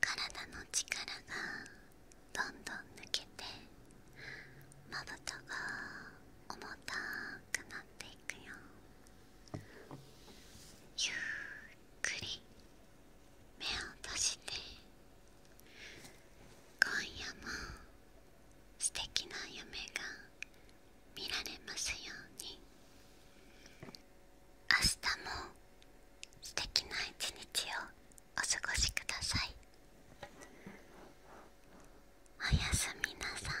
体の力がどんどん抜けてまぶたが重たくなっていくよゆっくり目を閉じて今夜も素敵な夢が見られますように明日も素敵な一日をお過ごしくださいおやすみなさい